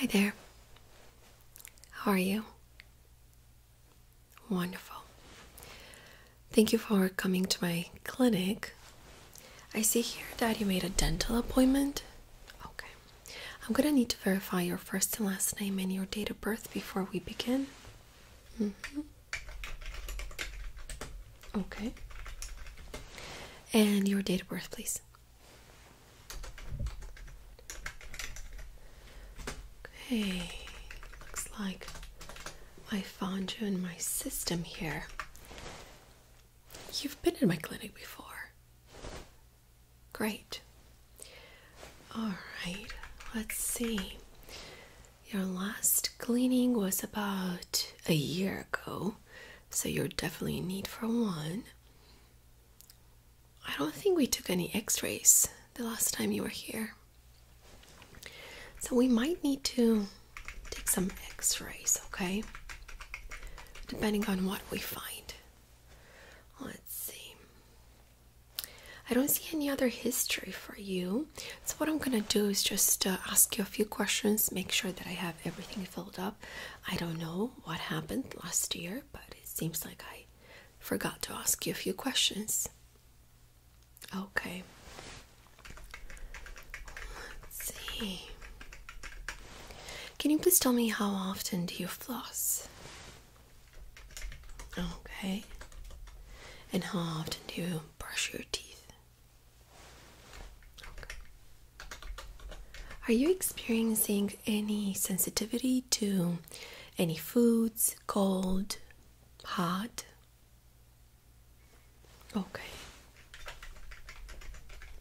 Hi there. How are you? Wonderful. Thank you for coming to my clinic. I see here that you made a dental appointment. Okay. I'm gonna need to verify your first and last name and your date of birth before we begin. Mm-hmm. Okay. And your date of birth, please. Okay, looks like I found you in my system here. You've been in my clinic before. Great. All right, let's see. Your last cleaning was about a year ago, so you're definitely need for one. I don't think we took any x rays the last time you were here. So we might need to take some x rays, okay? Depending on what we find. Let's see. I don't see any other history for you. So, what I'm gonna do is just uh, ask you a few questions, make sure that I have everything filled up. I don't know what happened last year, but it seems like I forgot to ask you a few questions. Okay. Let's see. Can you please tell me how often do you floss? Okay. And how often do you brush your teeth? Are you experiencing any sensitivity to any foods, cold, hot? Okay.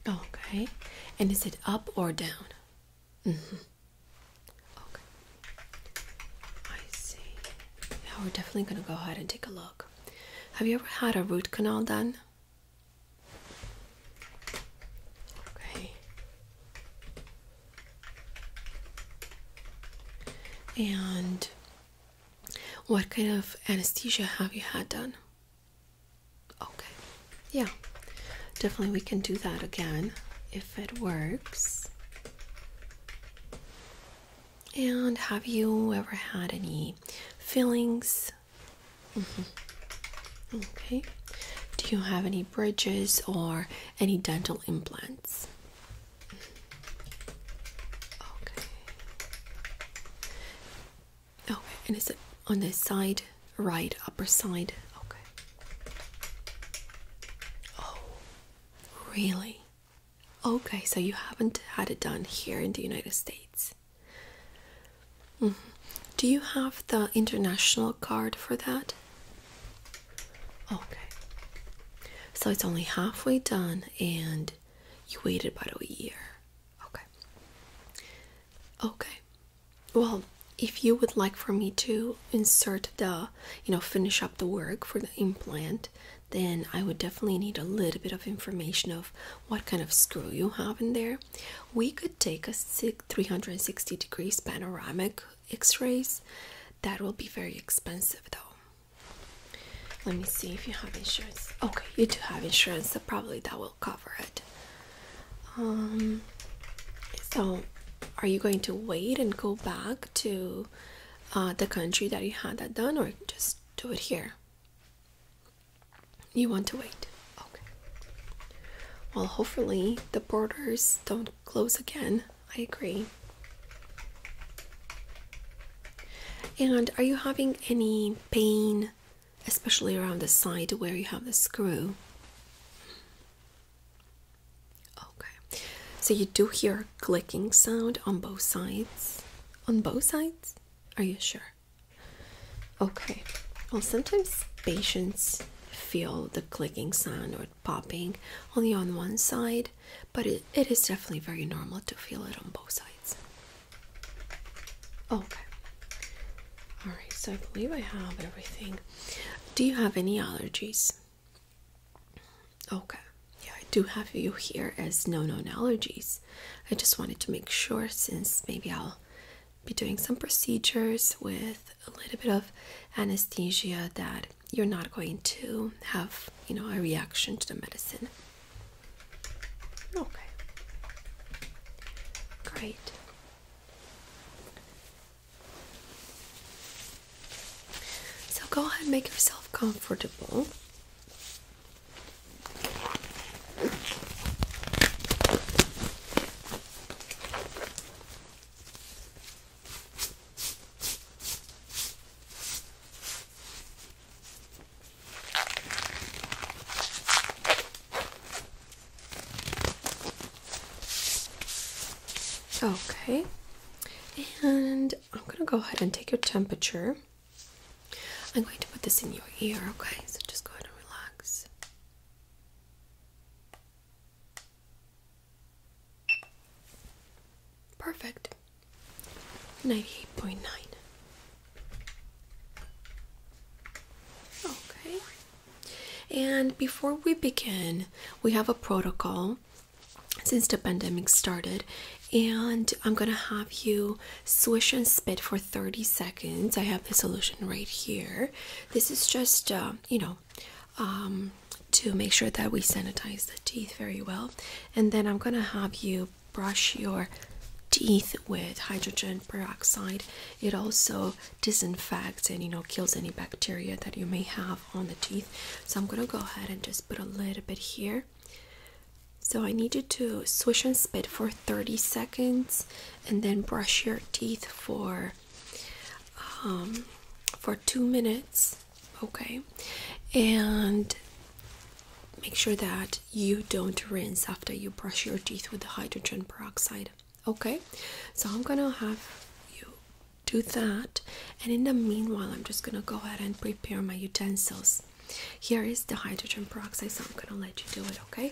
Okay. And is it up or down? Mm-hmm. Okay. I see. Yeah, we're definitely going to go ahead and take a look. Have you ever had a root canal done? Okay. And what kind of anesthesia have you had done? Okay. Yeah. Definitely we can do that again if it works. And have you ever had any fillings? Mm-hmm. Okay. Do you have any bridges or any dental implants? Okay. Okay. And is it on the side right upper side okay oh really okay so you haven't had it done here in the united states mm-hmm. do you have the international card for that okay so it's only halfway done and you waited about a year okay okay well if you would like for me to insert the you know finish up the work for the implant then i would definitely need a little bit of information of what kind of screw you have in there we could take a 360 degrees panoramic x-rays that will be very expensive though let me see if you have insurance okay you do have insurance so probably that will cover it um, so, are you going to wait and go back to uh, the country that you had that done, or just do it here? You want to wait? Okay. Well, hopefully, the borders don't close again. I agree. And are you having any pain especially around the side where you have the screw. Okay, so you do hear a clicking sound on both sides. On both sides? Are you sure? Okay, well, sometimes patients feel the clicking sound or popping only on one side, but it, it is definitely very normal to feel it on both sides. Okay, all right, so I believe I have everything. Do you have any allergies? Okay, yeah, I do have you here as no known allergies. I just wanted to make sure since maybe I'll be doing some procedures with a little bit of anesthesia that you're not going to have, you know, a reaction to the medicine. Okay. Great. So go ahead and make yourself comfortable. Okay, and I'm gonna go ahead and take your temperature. I'm going to put this in your ear, okay? So just go ahead and relax. Perfect. 98.9. Okay. And before we begin, we have a protocol since the pandemic started, and I'm gonna have you swish and spit for 30 seconds. I have the solution right here. This is just, uh, you know, um, to make sure that we sanitize the teeth very well. And then I'm gonna have you brush your teeth with hydrogen peroxide. It also disinfects and you know kills any bacteria that you may have on the teeth. So I'm gonna go ahead and just put a little bit here. So I need you to swish and spit for 30 seconds and then brush your teeth for um, for 2 minutes, okay? And make sure that you don't rinse after you brush your teeth with the hydrogen peroxide. Okay, so I'm gonna have you do that, and in the meanwhile, I'm just gonna go ahead and prepare my utensils. Here is the hydrogen peroxide, so I'm gonna let you do it, okay?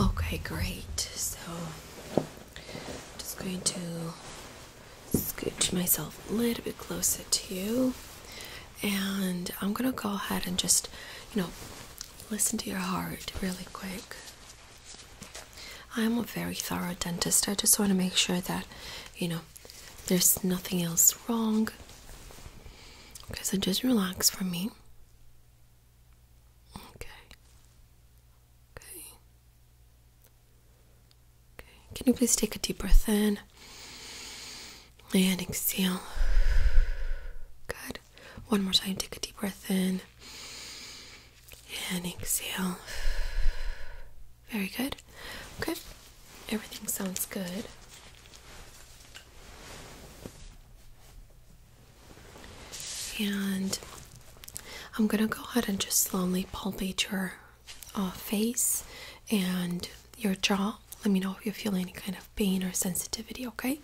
Okay, great. So I'm just going to scooch myself a little bit closer to you and I'm gonna go ahead and just, you know, listen to your heart really quick. I am a very thorough dentist. I just want to make sure that, you know, there's nothing else wrong. Okay, so just relax for me. Okay. Okay. Okay. Can you please take a deep breath in? and exhale. Good. One more time. Take a deep breath in and exhale. Very good. Okay. Everything sounds good. And I'm going to go ahead and just slowly palpate your uh, face and your jaw. Let me know if you feel any kind of pain or sensitivity, Okay.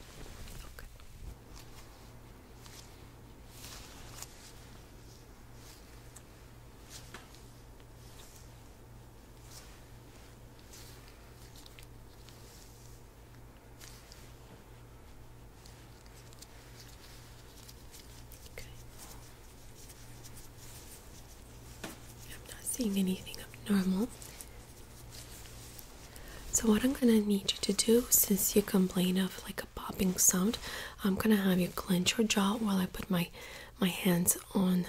I'm not seeing anything abnormal. So what I'm gonna need you to do, since you complain of like a popping sound, I'm gonna have you clench your jaw while I put my my hands on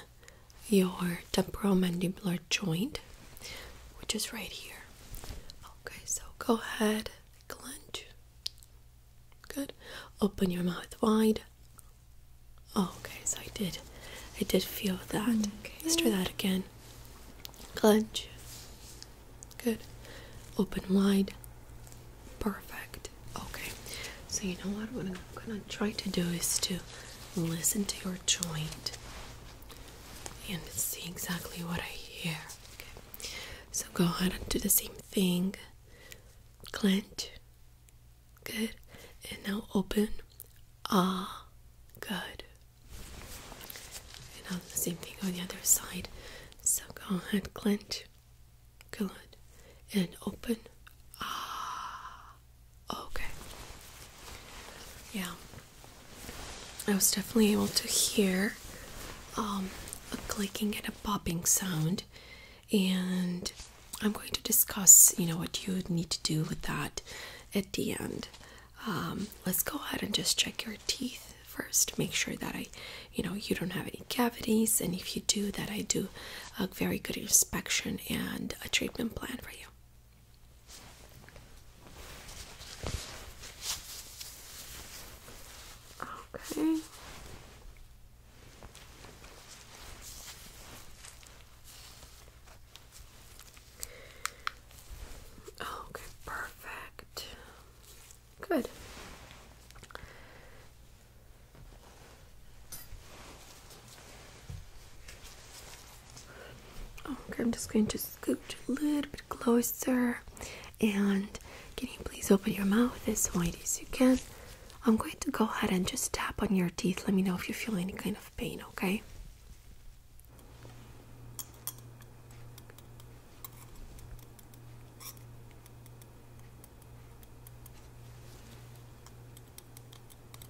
your temporomandibular joint, which is right here. Okay, so go ahead, clench. Good. Open your mouth wide. Oh, okay, so I did. I did feel that. Okay. Let's try that again. Clench. Good. Open wide. Perfect. Okay. So you know what? What I'm gonna try to do is to listen to your joint and see exactly what I hear. Okay. So go ahead and do the same thing. Clench. Good. And now open. Ah, good. And now the same thing on the other side. So go ahead, clench. Good. And open. Ah, okay. Yeah. I was definitely able to hear um, a clicking and a popping sound and I'm going to discuss, you know, what you need to do with that at the end. Um, let's go ahead and just check your teeth first. Make sure that I, you know, you don't have any cavities, and if you do, that I do a very good inspection and a treatment plan for you. Okay. Oh, okay, perfect. Good. Oh, okay, I'm just going to scoot a little bit closer. And can you please open your mouth as wide as you can? I'm going to go ahead and just tap on your teeth. Let me know if you feel any kind of pain, okay?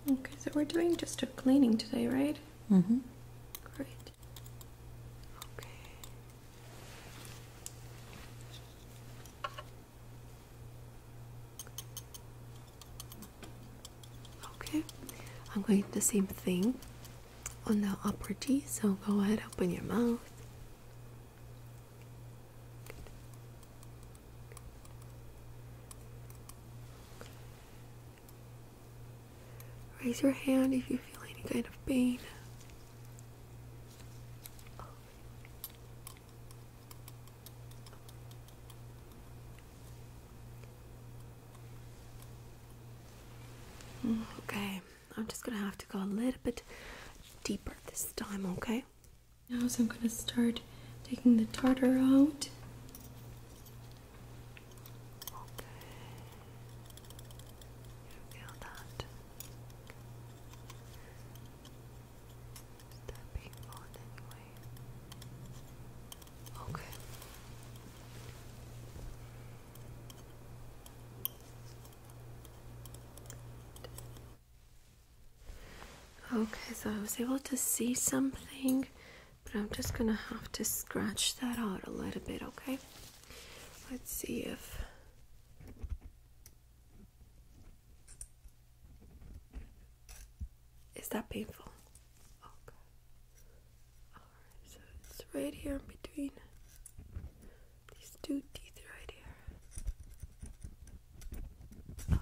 Okay, so we're doing just a cleaning today, right? Mm hmm. Great. Okay. Okay, I'm going to the same thing on the upper teeth. so go ahead, open your mouth. Raise your hand if you feel any kind of pain. Mm, okay, I'm just gonna have to go a little bit deeper this time, okay? Now, so I'm gonna start taking the tartar out. Okay. You feel that? Okay. Okay, so I was able to see something, but I'm just gonna have to scratch that out a little bit, okay? Let's see if is that painful? Okay. Alright, so it's right here in between these two teeth right here. Okay.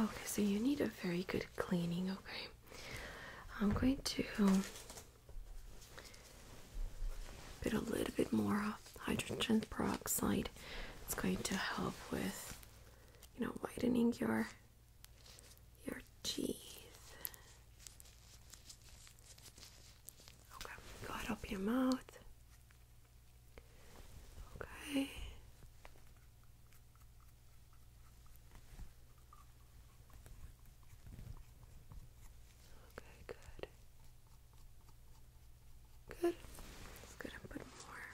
Okay, so you need a very good cleaning, okay? I'm going to put a little bit more hydrogen peroxide. It's going to help with, you know, whitening your your teeth. Okay, go ahead, open your mouth. Okay. Okay, good. Good. Let's go put more.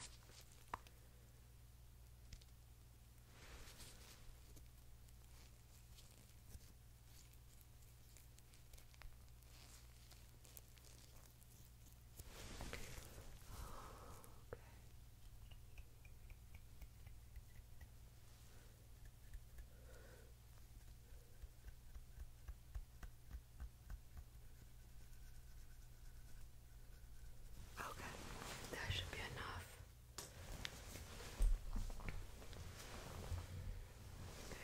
Okay, that should be enough.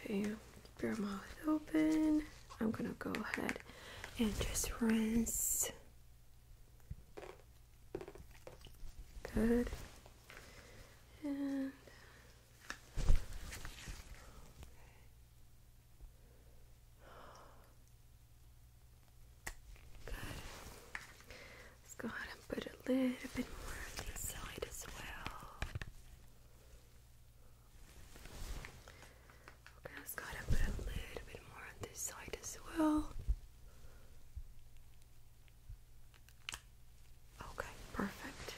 Okay, keep your mouth open. I'm gonna go ahead and just rinse. Good. And Good. Let's go ahead and put a little bit more on this side as well. Okay, I just gotta put a little bit more on this side as well. Okay, perfect.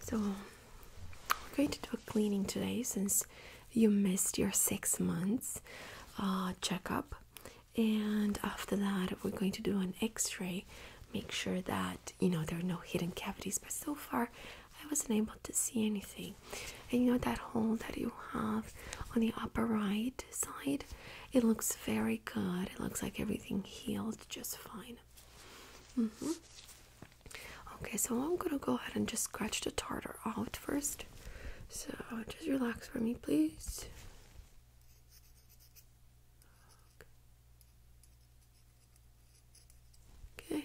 So, we're going to do a cleaning today since you missed your six months uh, checkup, and after that we're going to do an x-ray make sure that you know there are no hidden cavities but so far i wasn't able to see anything and you know that hole that you have on the upper right side it looks very good it looks like everything healed just fine mm -hmm. okay so i'm gonna go ahead and just scratch the tartar out first so just relax for me, please. Okay.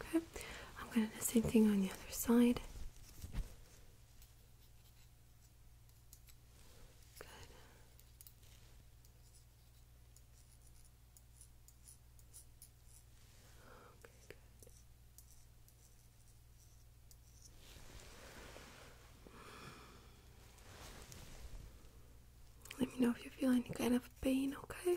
Okay, I'm going to do the same thing on the other side. Good. Okay, good. Let me know if you feel any kind of pain, okay?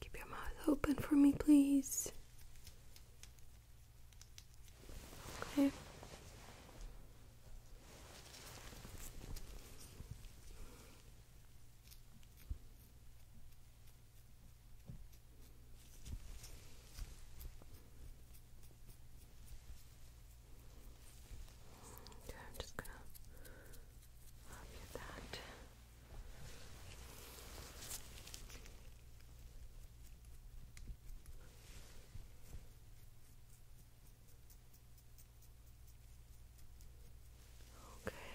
Keep your mouth open for me, please. Okay. Okay, I'm just gonna help you that. Okay.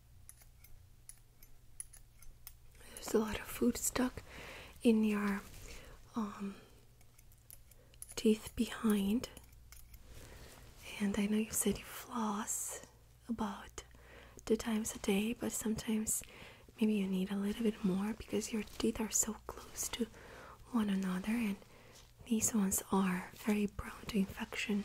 There's a lot of food stuck in your um, teeth behind. And I know you said you floss about two times a day, but sometimes maybe you need a little bit more because your teeth are so close to one another and these ones are very prone to infection.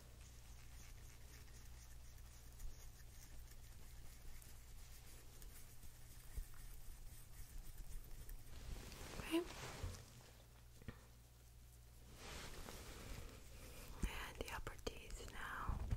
Okay. And the upper teeth now.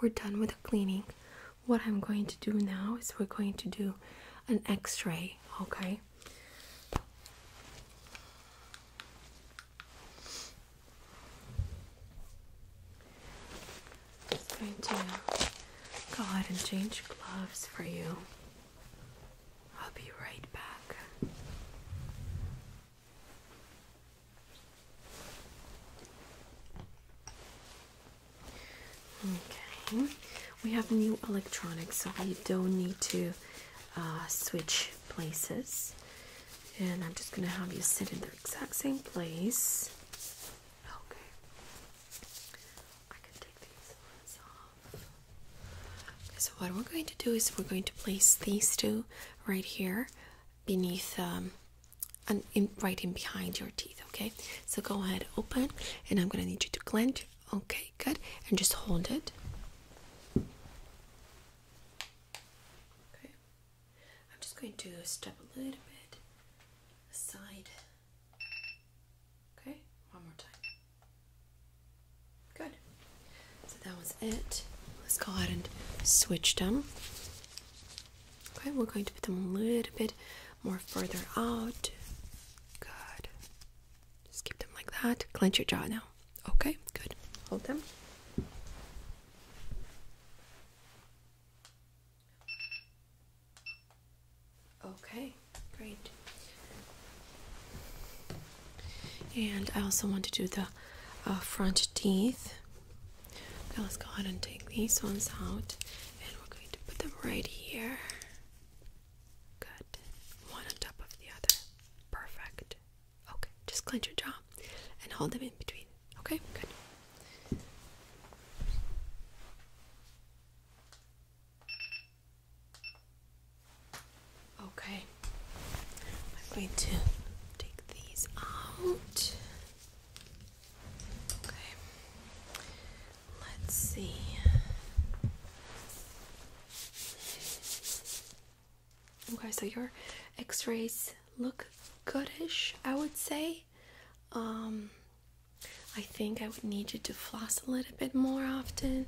we're done with the cleaning. What I'm going to do now is we're going to do an x ray, okay? Just going go ahead and change gloves for you. I'll be right back. Okay, we have new electronics, so we don't need to uh, switch places. And I'm just gonna have you sit in the exact same place. Okay, I can take these ones off. Okay, so, what we're going to do is we're going to place these two right here beneath um, and in, right in behind your teeth. Okay, so go ahead, open, and I'm gonna need you to clench. Okay, good, and just hold it. Okay, I'm just going to step a little bit aside. Okay, one more time. Good. So that was it. Let's go ahead and switch them. Okay, we're going to put them a little bit more further out. Good. Just keep them like that. Clench your jaw now. Okay, good. Hold them. Okay, great. And I also want to do the uh, front teeth Okay, let's go ahead and take these ones out and we're going to put them right here. Good. One on top of the other. Perfect. Okay, just clench your jaw and hold them in between. Okay, good. Okay, I'm going to take these out. Okay. Let's see. Okay, so your x-rays look goodish, I would say. Um I think I would need you to floss a little bit more often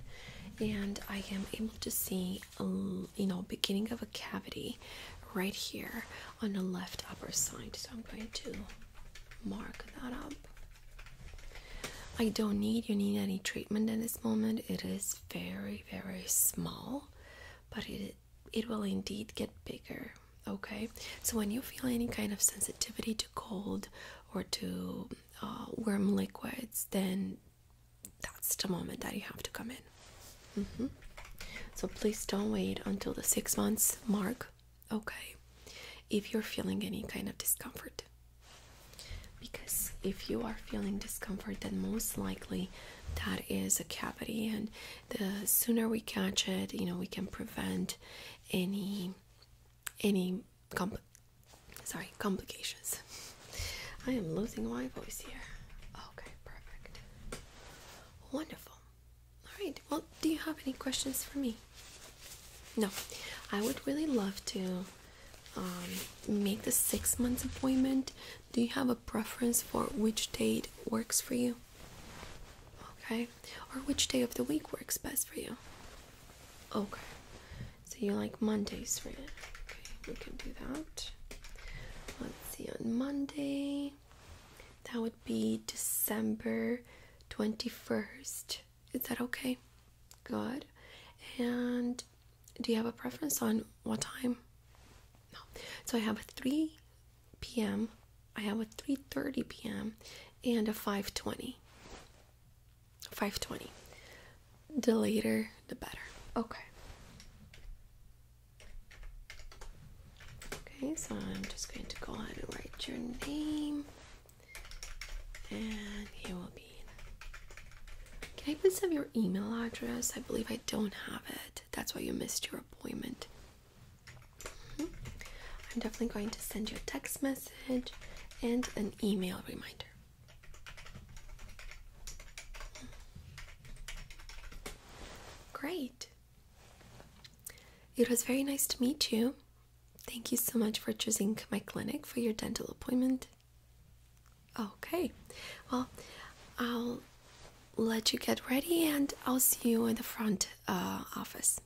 and I am able to see um, you know beginning of a cavity right here on the left upper side. So I'm going to mark that up. I don't need you need any treatment in this moment. It is very very small, but it it will indeed get bigger. Okay, so when you feel any kind of sensitivity to cold or to uh, warm liquids, then that's the moment that you have to come in. Mm-hmm. So please don't wait until the six months mark, okay? If you're feeling any kind of discomfort. Because if you are feeling discomfort, then most likely that is a cavity, and the sooner we catch it, you know, we can prevent any any compl sorry complications. I am losing my voice here. Okay, perfect. Wonderful. All right. Well, do you have any questions for me? No. I would really love to um, make the six months appointment. Do you have a preference for which date works for you? Okay. Or which day of the week works best for you? Okay. So you like Mondays, right? Okay. We can do that. Let's see. On Monday, that would be December 21st. Is that okay? Good. And do you have a preference on what time? No. So I have a 3 p.m. I have a 3:30 p.m. and a 5:20. 5:20. The later, the better. Okay. Okay, so I'm just going to go ahead and write your name. And here will be. Can I please have your email address? I believe I don't have it. That's why you missed your appointment. Mm-hmm. I'm definitely going to send you a text message and an email reminder. Great. It was very nice to meet you. Thank you so much for choosing my clinic for your dental appointment. Okay, well, I'll let you get ready and I'll see you in the front uh, office.